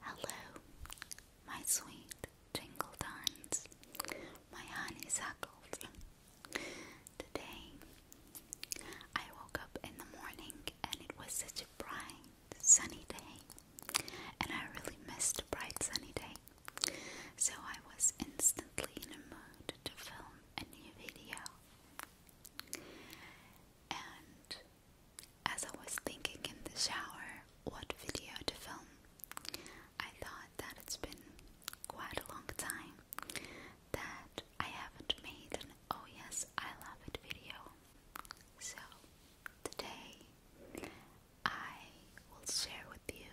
Hello, my sweet jingle dines, my honeysuckles. Today, I woke up in the morning and it was such a bright, sunny day, and I really missed a bright, sunny day. So I was instantly in a mood to film a new video. And as I was thinking in the shower what video to film, I thought that it's been quite a long time that I haven't made an oh yes, I love it video. So today I will share with you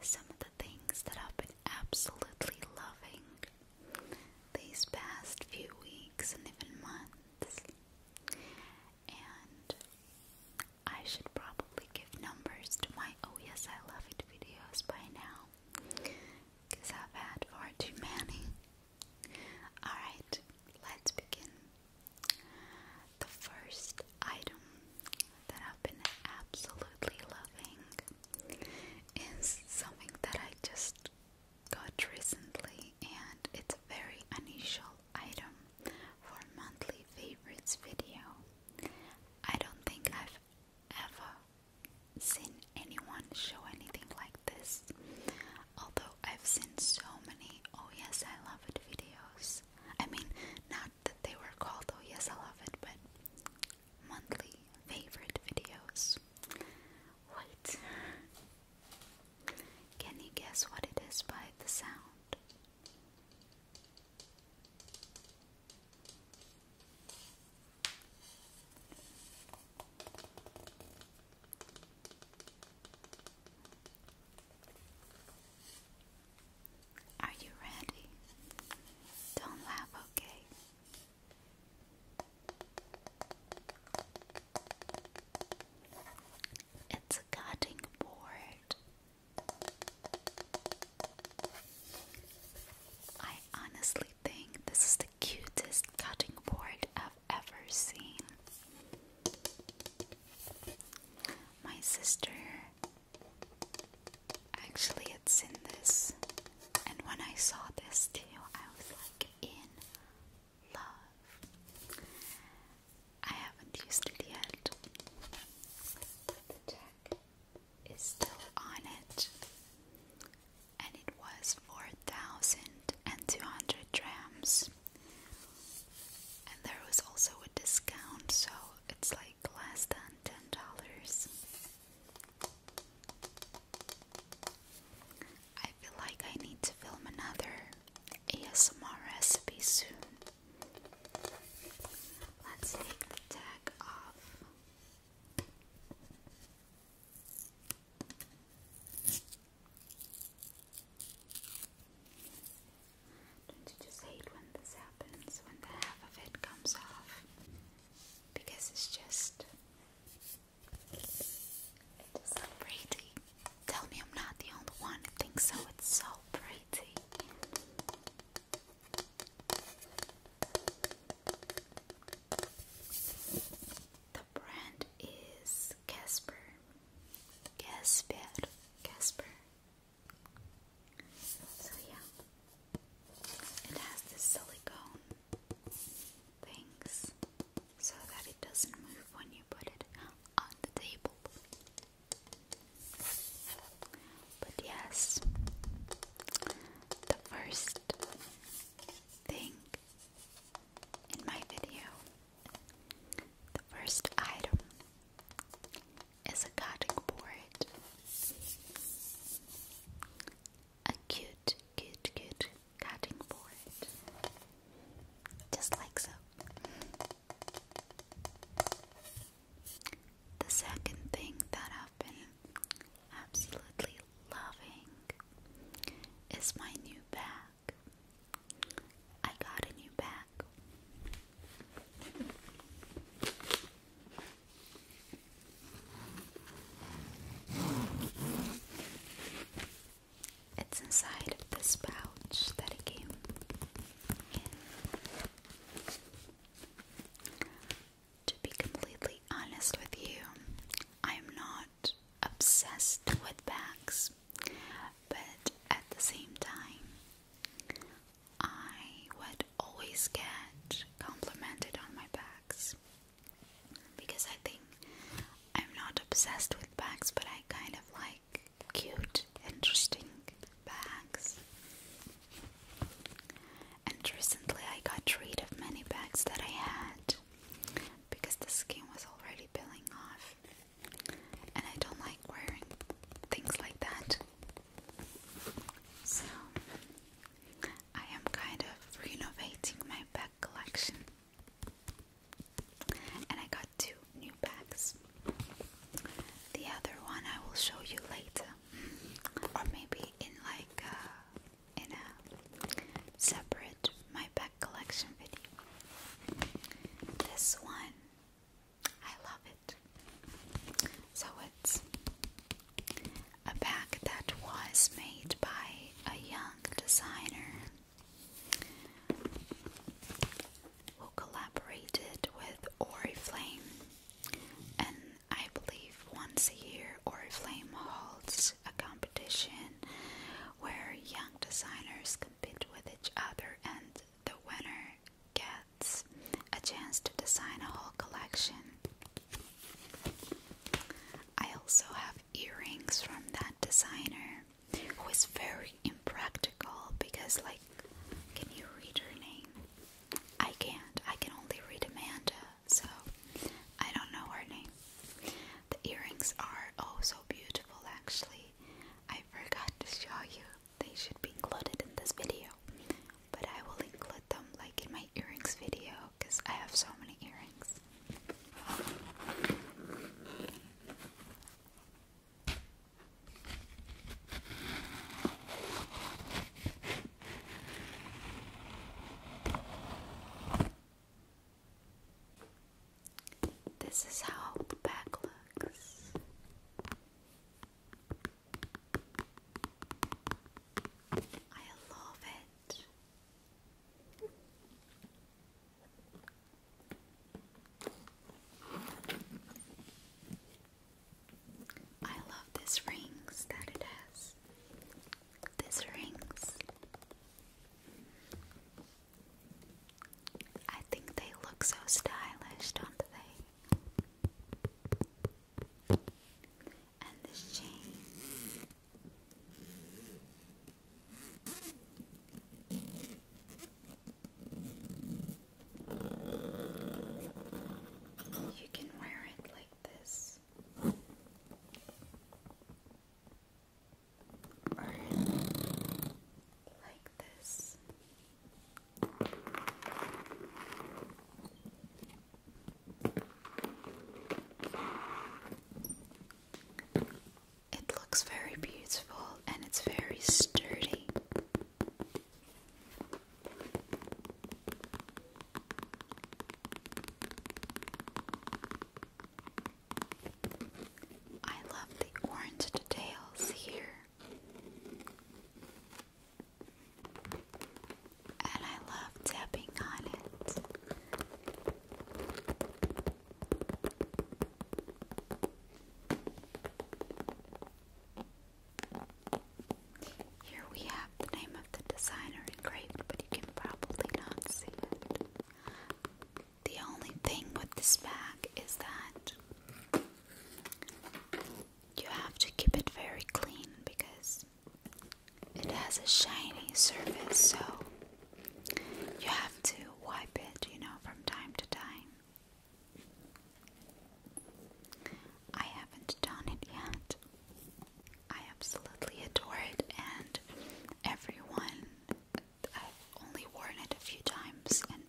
some of the things that I've been absolutely loving these past few weeks and even months. And I should probably give numbers to my Oh Yes I Love It videos by now. Because I've had far too many. Alright, let's begin. The first item that I've been absolutely loving is something that I just got recently and it's a very unusual item for monthly favorites video. I don't think I've ever seen anyone show anything like this. Although I've seen so many oh yes I love it videos. I mean not that they were called oh yes I love it but monthly favorite videos. Wait. Can you guess what it is by the sound? Are you ready? Don't laugh, okay? It's a cutting board. I honestly think this is the cutest cutting board I've ever seen. My sister Actually, it's in this. And when I saw this too, I was like in love. I haven't used it yet. The tag is still on it. And it was 4,200 drams. And there was also a discount, so it's like less than $10. I feel like I need to film another ASMR recipe soon. Let's take the tag off. Don't you just hate when this happens, when the half of it comes off? because it's just so pretty. Tell me I'm not the only one who thinks so. It's so pretty. The brand is Casper. Casper. Casper. So yeah. It has this silicone things so that it doesn't move when you put it on the table. But yes, the first thing in my video, the first item is a cutting board a cute, cute, cute cutting board. Just like so. The second thing that I've been absolutely loving is my new bag. I got a new bag. It's inside of this pouch that it came To be completely honest with you, I am not obsessed with bags, but at the same time, I would i always get complimented on my bags because I think I'm not obsessed with bags, but I kind of like cute, interesting bags. And recently, I got rid of many bags that I had because the skin was already peeling off, and I don't like wearing things like that. So, I am kind of renovating my bag collection, and I got two new bags. The other one I will show you later, or maybe in like uh, in a separate my bag collection video. This one, I love it. So woods. A bag that was made by a young designer who collaborated with Oriflame, and I believe once a year Oriflame holds a competition where young designers compete with each other, and the winner gets a chance to design a whole collection. I also have earrings from that designer who is very impractical because, like, can you read her name? I can't, I can only read Amanda, so I don't know her name. The earrings are oh so beautiful, actually. I forgot to show you, they should be included in this video but I will include them like in my earrings video because I have so many earrings. This is how the bag looks. I love it. I love these rings that it has. These rings. I think they look so stylish, don't they? and this chain. You can wear it like this, or like this. It looks very beautiful and it's very sturdy. I love the orange details here and I love tapping on it. Here we have the name of the designer engraved, but you can probably not see it. The only thing with this bag is that you have to keep it very clean because it has a shiny surface, so you have to wipe it, you know, from time to time. I haven't done it yet. I absolutely adore it, and everyone, I've only worn it a few times, and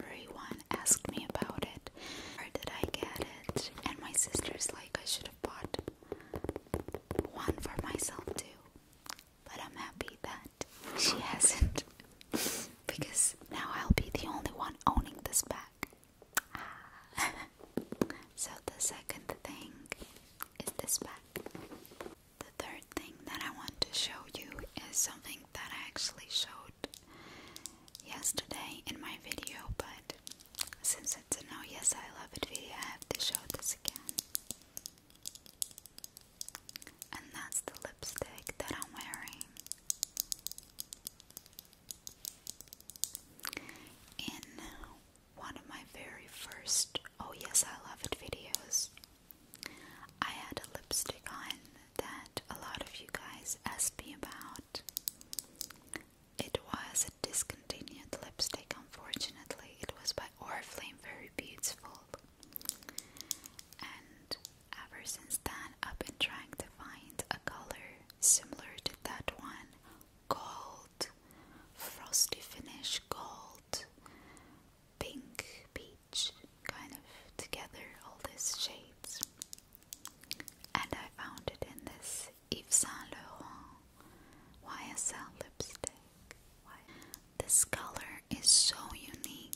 everyone asked me about it. or did I get it? And my sister's like, I should have bought one for myself too. But I'm happy that she hasn't. because now I'll be the only one owning this bag. so the second thing is this bag. The third thing that I want to show you is something that I actually showed yesterday in my video, but since it's a no, yes, I love it video, I have to show this again. And that's the lipstick that I'm wearing. In one of my very first Oh Yes I Love It videos, I had a lipstick on that a lot of you guys asked me about. It was a discontinued lipstick, unfortunately. It was by Oriflame, very beautiful. And ever since then, I've been trying to find a color similar to that one gold, frosty finish, gold, pink, peach, kind of together, all these shades. And I found it in this Yves Saint Laurent YSL lipstick. This color is so unique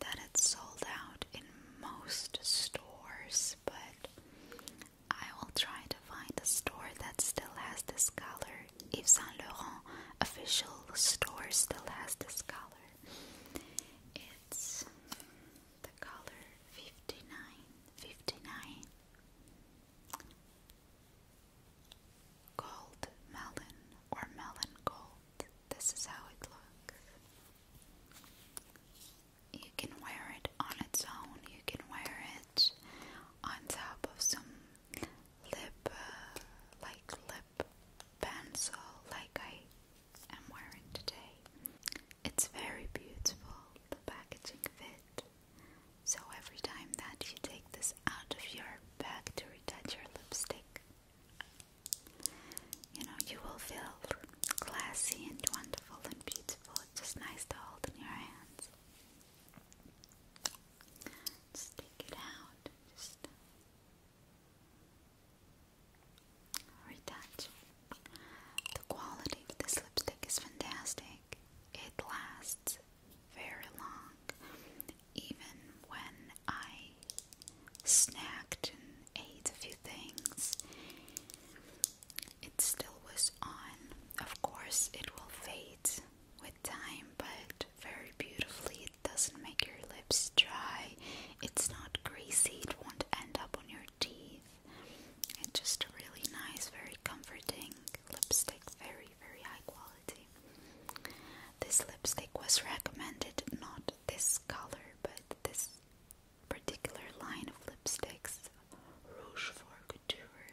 that it's sold out in most stores, but I will try to find a store that still has this color. Yves Saint Laurent official store still has this color. It's the color 59 gold melon or melon gold this is how it looks you can wear it on its own you can wear it on top of some lip uh, like lip pencil like I I'm wearing today. It's very beautiful, the packaging fit. So every time that you take this out of your bag to retouch your lipstick, you know, you will feel classy and wonderful and beautiful. It's just nice to hold in your hands. Just take it out. Just Retouch. The quality of this lipstick is fantastic. It lasts very long. Even when I snacked and ate a few things, it still was on. Of course, it will fade with time, but very beautifully, it doesn't make your lips dry it's not greasy, it won't end up on your teeth. It's just a really nice, very comforting lipstick, very, very high quality. This lipstick was recommended, not this color, but this particular line of lipsticks, Rouge for Couture,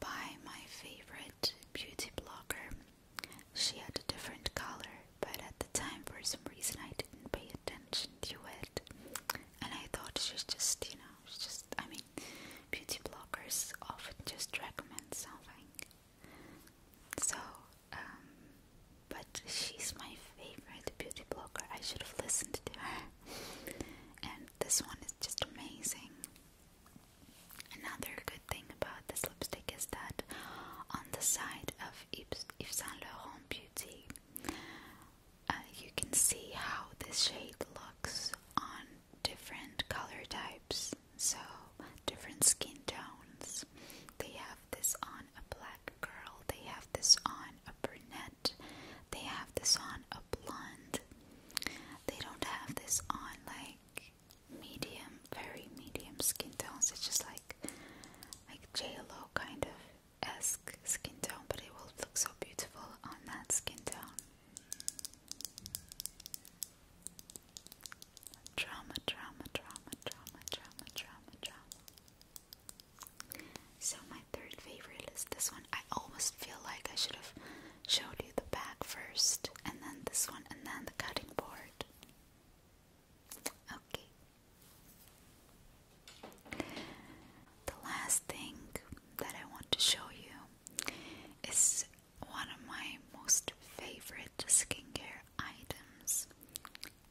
by my favorite beauty blogger, she had a different color, but at the time, for some reason, I didn't pay attention to it. And I thought she's just, you know, she's just, I mean, beauty bloggers often just recommend something. So, um, but she's my favorite beauty blogger. I should have listened to her. And this one is just amazing. Another good thing about this lipstick is that on the side of of Yves, Saint Laurent Beauty. Uh, you can see how this shade looks on different color types, so different skin tones. They have this on a black girl, they have this on a brunette, they have this on a blonde. They don't have this on like medium, very medium skin tones. It's just like like J Lo kind of esque skin tone, but it will look so beautiful on that skin tone. Drama, drama, drama, drama, drama, drama, drama. So my third favorite is this one. I almost feel like I should have showed you the back first, and then this one, and then the cutting board. Okay. The last thing that I want to show you is one of my most favorite skincare items.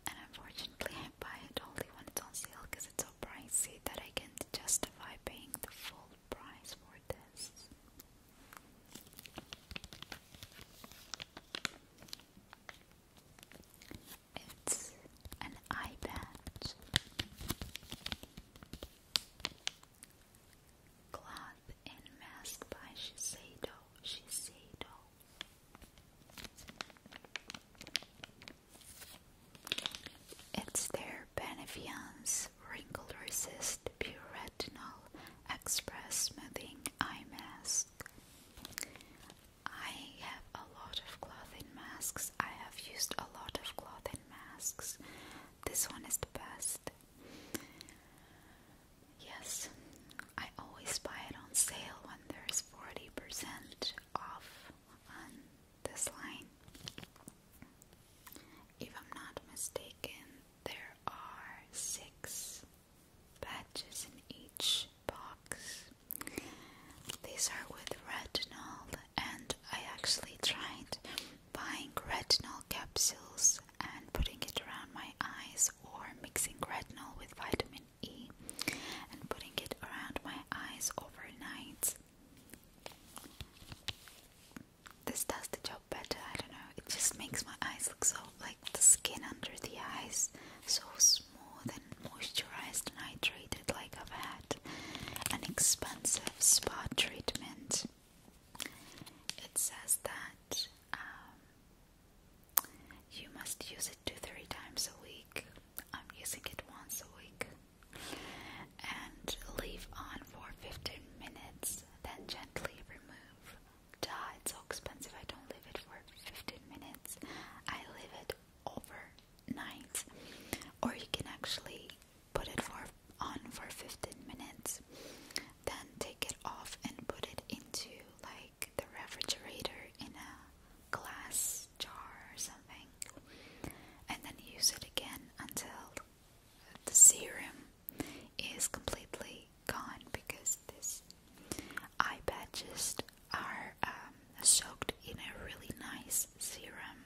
And unfortunately, I buy it only when it's on sale because it's so pricey that I can't justify paying the full price for this. It's an eye patch. Cloth and Mask by Shiseido. Shiseido. It's their Benefiance Wrinkle Resist Pure Express Smoothing Eye Mask. I have a lot of clothing masks. I have used a lot of clothing masks. This one is the best. Yes, I always buy it on sale when there's 40% off on this line. If I'm not mistaken, there are six patches in each box. These are with retinol, and I actually tried buying retinol capsules and putting it around my eyes, or mixing retinol with vitamin E and putting it around my eyes overnight. This does the job better, I don't know it just makes my eyes look so like the skin under the eyes so smooth and moisturized and hydrated, like I've had an expensive spa treatment. It says that um, you must use it two, three times a week. I'm using it once a week. And leave on for 15 minutes, then gently remove. Duh, it's so expensive. I don't leave it for 15 minutes. I leave it overnight. Or you can actually put it for on for 15 minutes. Then take it off and put it into like the refrigerator in a glass jar or something. And then use it again until the serum is completely gone because this eye just are um, soaked in a really nice serum.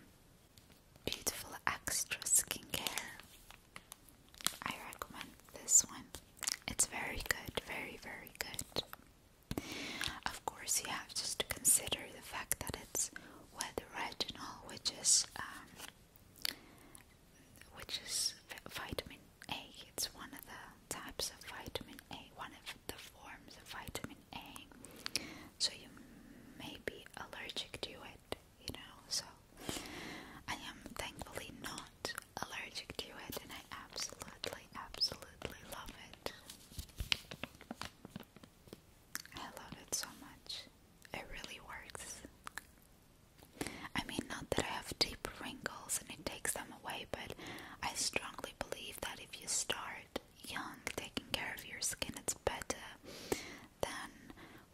Beautiful extra skincare. I recommend this one. It's very good, very, very good. Of course, you have just to consider the fact that it's with retinol, which is um, which is vitamin A. It's one of the types of vitamin A, one of the forms of vitamin A. So you may be allergic to it, you know. So I am thankfully not allergic to it, and I absolutely, absolutely love it. I love it so much. It really works. I mean, not that I have deep wrinkles and it takes them away, but I strongly believe that if you start young taking care of your skin, it's better than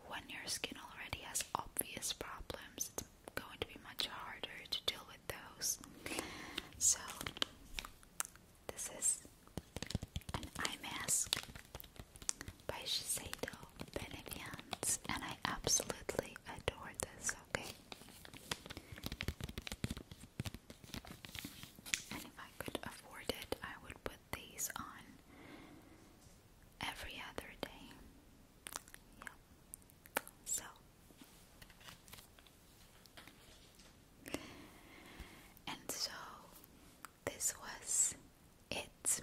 when your skin already has obvious problems. It's going to be much harder to deal with those. So, this is an eye mask by Shiseido. Benivians, and I absolutely adore this, okay? And if I could afford it, I would put these on every other day. Yeah. So. And so, this was it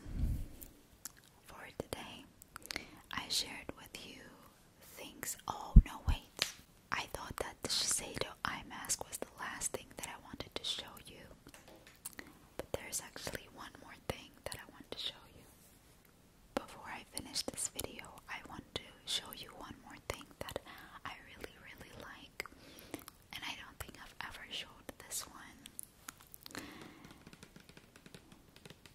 for today. I shared with you things. Oh, no, wait. I thought that the Shiseido eye mask was the last thing that I wanted to show you. But there's actually one more thing that I want to show you. Before I finish this video, I want to show you one more thing that I really, really like. And I don't think I've ever showed this one.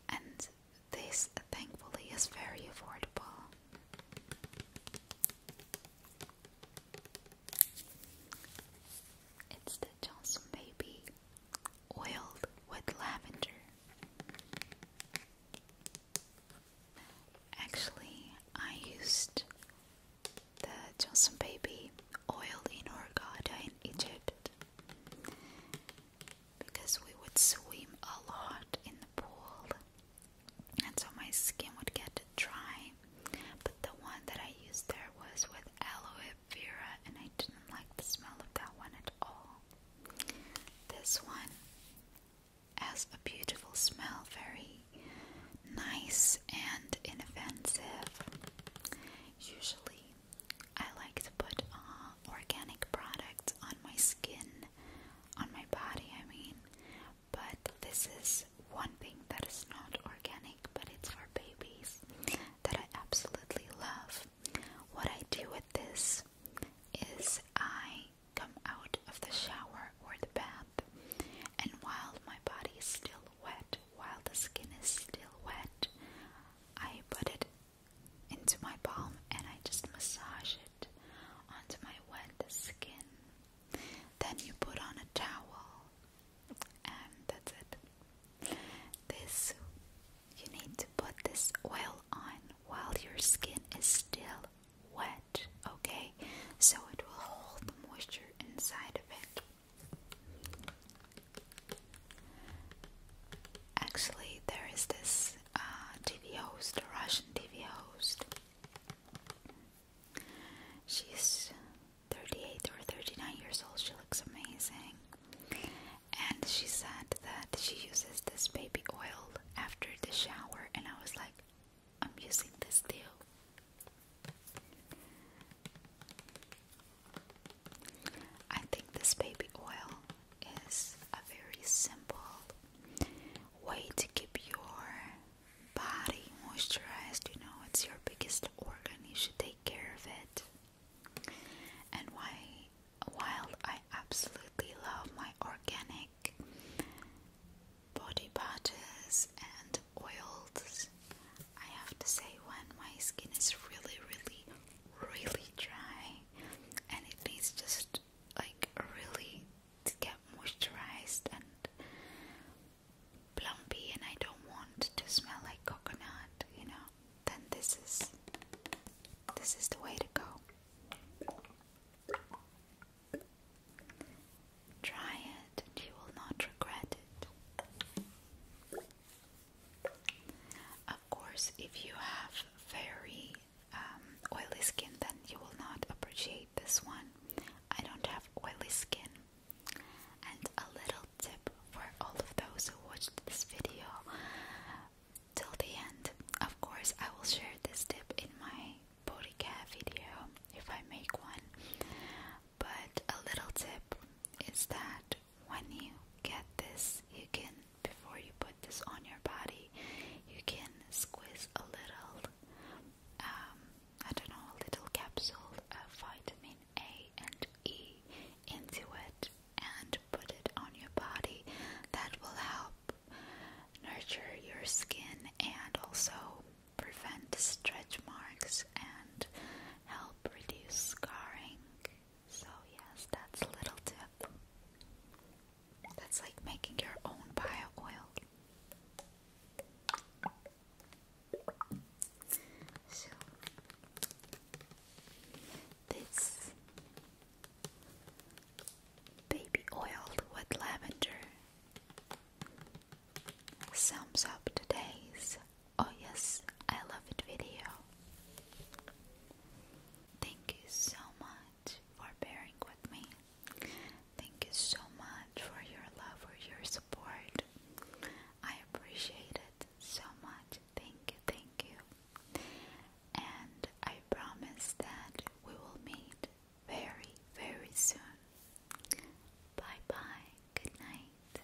And this thankfully is very affordable. It's the Johnson Baby oiled with lavender. Actually, I used the Johnson Baby oil in Hurghada Egypt because we would swim a lot in the pool, and so my skin would get dry. But the one that I used there was with aloe vera, and I didn't like the smell of that one at all. This one has a beautiful smell, very nice and inoffensive. Usually, I like to put uh, organic products on my skin, on my body, I mean. But this is one thing that is not organic, but it's for babies that I absolutely love. What I do with this is I come out of the shower or the bath, and while my body is still wet, while the skin is still wet. I put it into my palm and I just massage it onto my wet skin. Then you put on a towel, and that's it. This you need to put this oil on while your skin is still wet, okay? So it will hold the moisture inside of it. Actually, there is this uh, TV host, a Russian TV host. She's 38 or 39 years old, she looks amazing. And she said that she uses this baby oil after the shower, and I was like, I'm using this too. I think this baby oil is a very simple way to keep your body moisturized. You know, it's your biggest organ, you should take care of it. And why, while I absolutely love my organic body butters and oiled I have to say, when my skin is really, really, really dry and it needs just like really to get moisturized and plumpy, and I don't want to smell like coconut, you know, then this is this is the way to go. Try it and you will not regret it. Of course, if you have very um, oily skin, then you will not appreciate this one. I don't have oily skin. And a little tip for all of those who watched this video till the end. Of course, I will share this tip in my body care video if I make one. But a little tip is that when you get this, you can, before you put this on your body, you can squeeze a little, um, I don't know, a little capsule of uh, vitamin A and E into it and put it on your body. That will help nurture your skin and also prevent stretch marks and help reduce scarring. So, yes, that's a little tip. That's like making your own bio oil. So, this baby oiled with lavender sums up today's Oh yes, I love it video. Thank you so much for bearing with me. Thank you so much for your love, for your support. I appreciate it so much. Thank you, thank you. And I promise that we will meet very, very soon. Bye bye. Good night.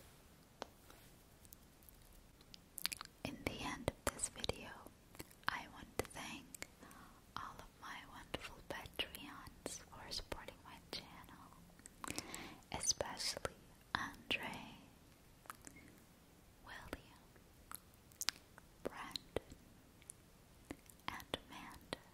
In the end of this video, I want to thank all of my wonderful Patreons for supporting my channel, especially Andre, William, Brandon, and Amanda.